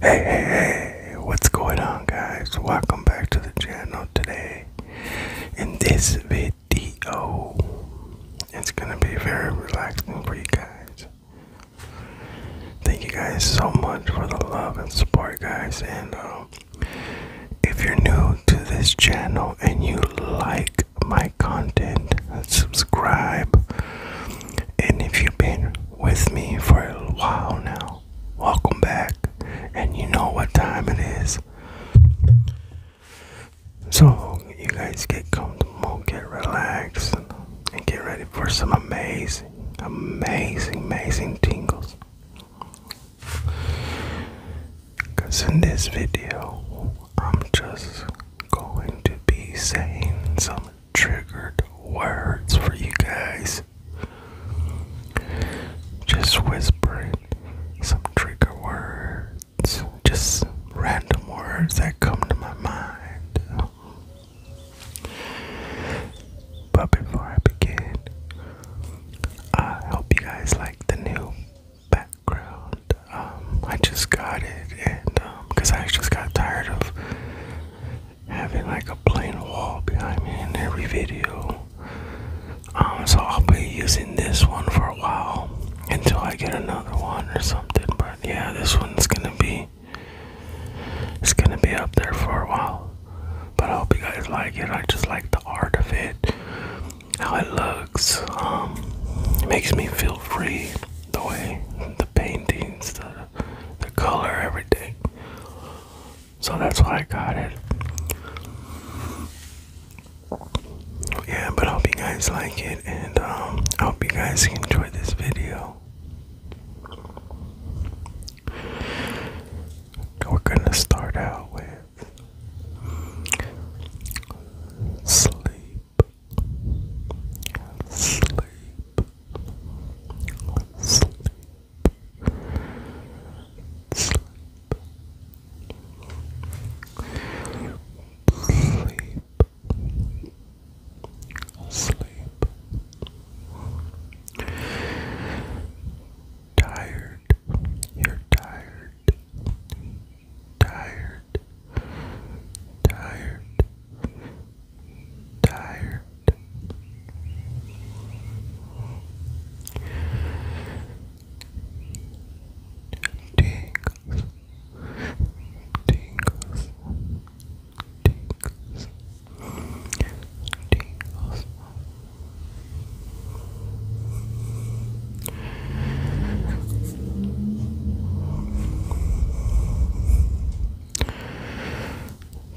Hey, hey, hey, what's going on, guys? Welcome back to the channel today. In this video, it's gonna be very relaxing for you guys. Thank you guys so much for the love and support, guys. And um, if you're new to this channel and you like my content, subscribe. And if you've been with me for a while now. Welcome back, and you know what time it is. So, you guys get comfortable, get relaxed, and get ready for some amazing, amazing, amazing tingles. Because in this video, I'm just going to be saying some triggered words for you guys. Just whispering some trigger words, just random words that come to my mind. But before I begin, I hope you guys like the new background. Um, I just got it, and because um, I just got tired of having like a plain wall behind me in every video. Um, so I'll be using this one for a while until I get another one or something. But yeah, this one's gonna be it's gonna be up there for a while. But I hope you guys like it. I just like the art of it, how it looks. Um, makes me feel free the way the paintings, the the color, everything. So that's why I got it. Yeah, but hope you guys like it, and um, hope you guys enjoy this video. We're gonna start out with sleep sleep, sleep, sleep. Sleep, sleep, tired, you're tired, tired, tired, tired. Tingles, tingles, tingles, tingles. Tingles,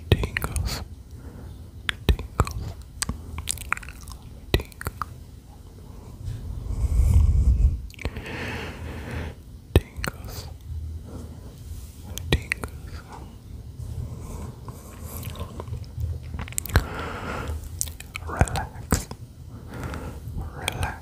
tingles, tingles, tingles, tingles. Relax, relax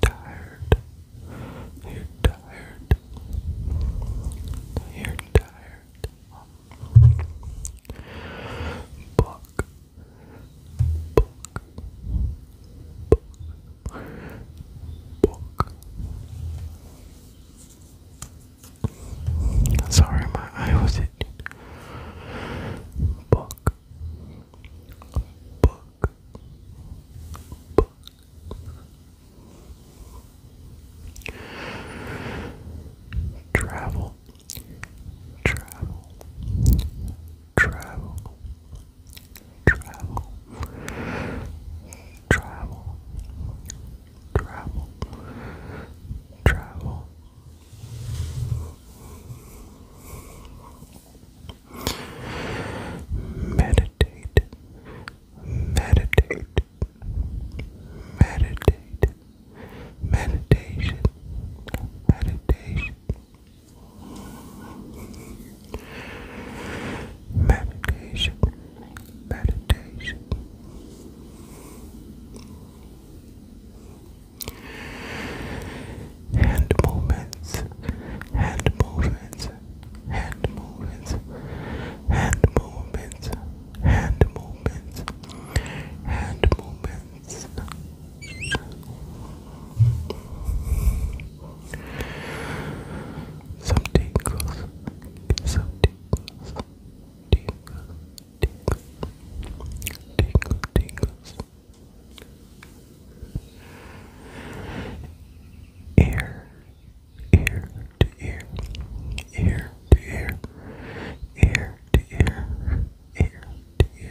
Tired. You're tired. You're tired. Book. Book. Book. Sorry, my eye was itching. Book. Book. Book. Travel. Travel. Travel travel, travel, travel, travel. Meditate, meditate, meditate, meditation, meditation. Meditation, meditation. Hand movements, hand movements, hand movements, hand movements, hand movements, hand movements. Some tingles, some tingles, tingles, tingles, tingles, tingles. Ear, to ear, ear to ear, ear to ear, ear to ear.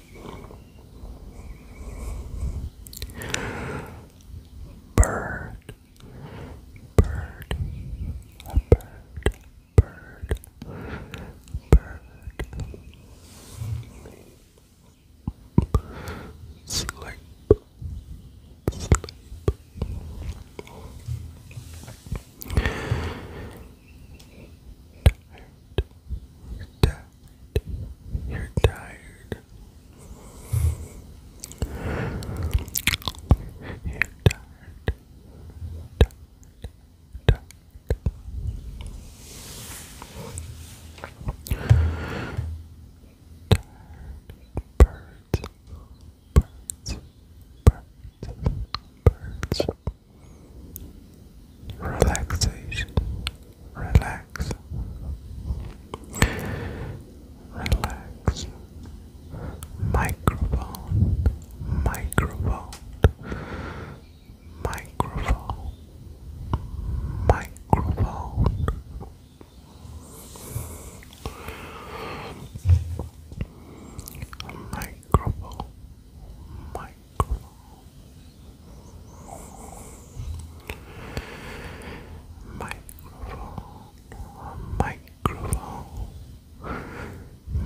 Bird, bird, a bird, bird, bird. Sleep, sleep tired. You're tired. You're tired. You're tired. Tired. Tired. Tired. Birds. Birds. Birds. Birds relaxation, relax, relax, microphone, microphone, microphone, microphone. Microphone, microphone, microphone,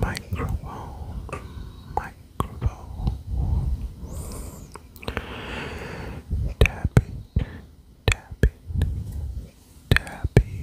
microphone, microphone, tapping, tapping, tapping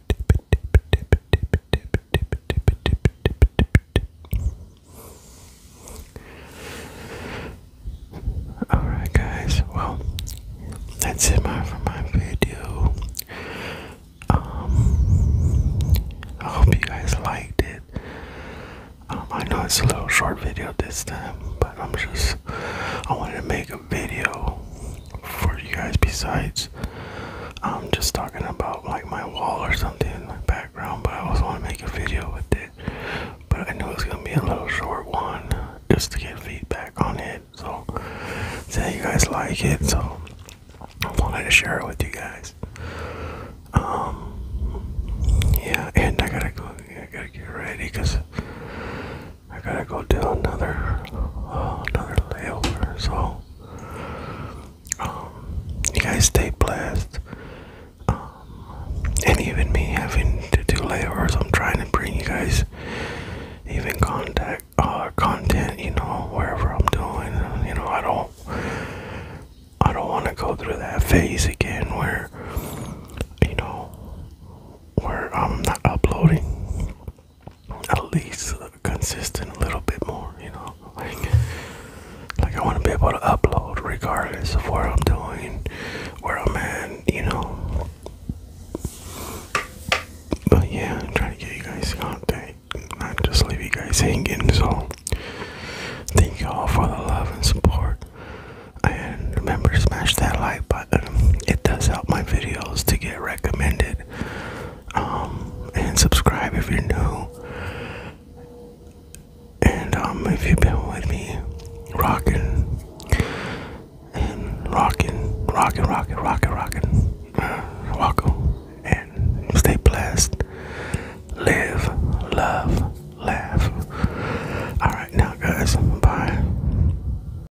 Alright, guys, well, that's it for my video. Um, I hope you guys liked it. Um, I know it's a little short video this time, but I'm just, I wanted to make a video for you guys besides I'm um, just talking about like my wall or something, my background, but I also want to make a video with it. But I knew it was gonna be a little short one just to get feedback on it. So say you guys like it, so I wanted to share it with you guys. Um yeah, and I gotta go I gotta get ready because I gotta go do another uh, another layover. So, um, you guys stay blessed. Um, and even me having to do layovers, I'm trying to bring you guys even contact uh, content. You know, wherever I'm doing. You know, I don't. I don't want to go through that phase again where you know where I'm not uploading at least consistent a little bit more, you know. Like I wanna be able to upload regardless of where I'm doing, where I'm at, you know. But yeah, I'm trying to get you guys out there. Not just leave you guys hanging, so thank you all for the love and support. And remember to smash that like button it does help my videos to get recommended. Um, and subscribe if you're new. And um, if you've been with me, rocking and rocking, rocking, rocking, rocking, rocking, uh, and stay blessed. Live, love, laugh. All right, now, guys, bye.